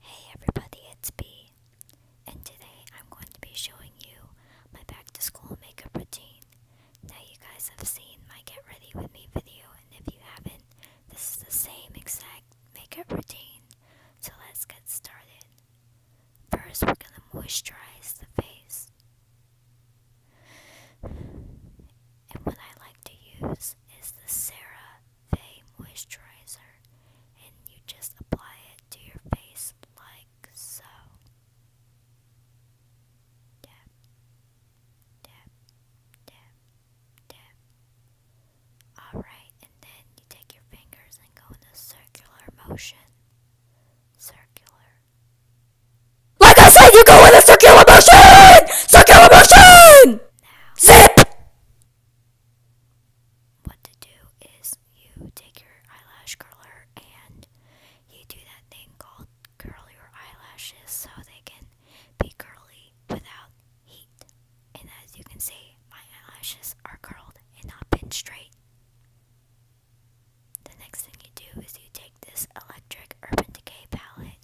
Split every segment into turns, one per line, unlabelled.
Hey everybody, it's B, and today I'm going to be showing you my back to school makeup routine. Now you guys have seen my get ready with me video, and if you haven't, this is the same exact makeup routine. So let's get started. First, we're going to moisturize the face. And what I like to use is the Sarah Fay moisturizer and you just apply it to your face like so. Tap, tap, tap, tap. Alright, and then you take your fingers and go in a circular motion.
Circular. Like I said, you go in a circular motion! Circular
motion! Zip! What to do is you take your eyelash curler and you do that thing called curl your eyelashes so they can be curly without heat. And as you can see, my eyelashes are curled and not pinned straight. The next thing you do is you take this electric Urban Decay palette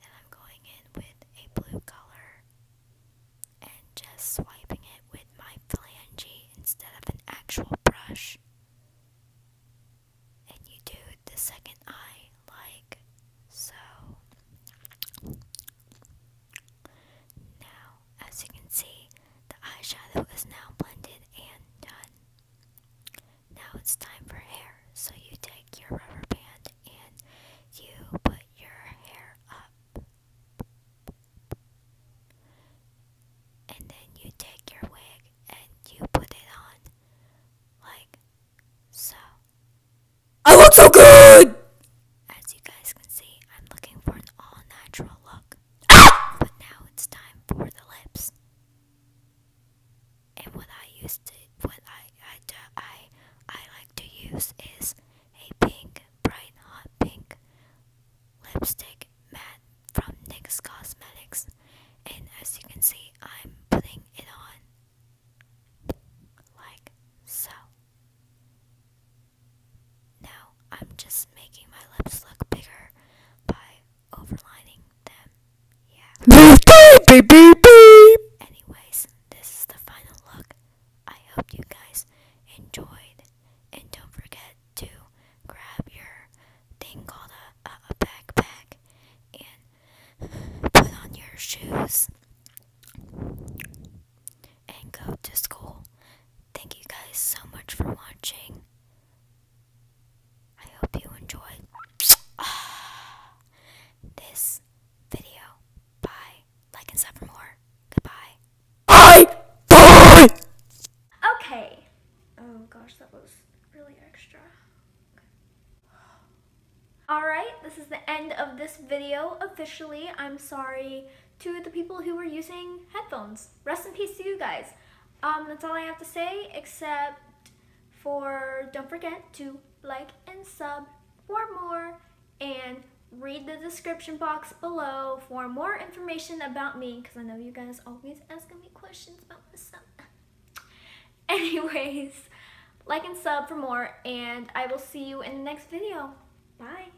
and I'm going in with a blue color and just swiping it with my phalange instead of an actual brush. And you do the second eye like so. Now, as you can see, the eyeshadow is now blended and done. Now it's time for hair. So you take your rubber band and you put your hair up.
And then you take your wig and you put it on. Like so. I look so good! As you guys can see, I'm looking for an all natural look. Ah! but now it's time for the
lips. And what I used to, what I I I I like to use is a pink, bright hot pink lipstick matte from NYX Cosmetics. And as you can see, I'm putting it on like so. Now I'm just making my lips look bigger by overlining them. Yeah. beep, beep, beep. Anyways, this is the final look. I hope you guys enjoyed. And don't forget to grab your thing called a, a backpack and put on your shoes and go to school. Thank you guys so much for watching. I hope you enjoy
this video. Bye. Like and sub for more. Goodbye. Bye! Bye! Okay. Oh gosh, that was really extra. Alright, this is the end of this video officially. I'm sorry to the people who were using headphones. Rest in peace to you guys. Um, that's all I have to say, except for don't forget to like and sub for more and read the description box below for more information about me because I know you guys always asking me questions about myself. Anyways, like and sub for more and I will see you in the next video. Bye.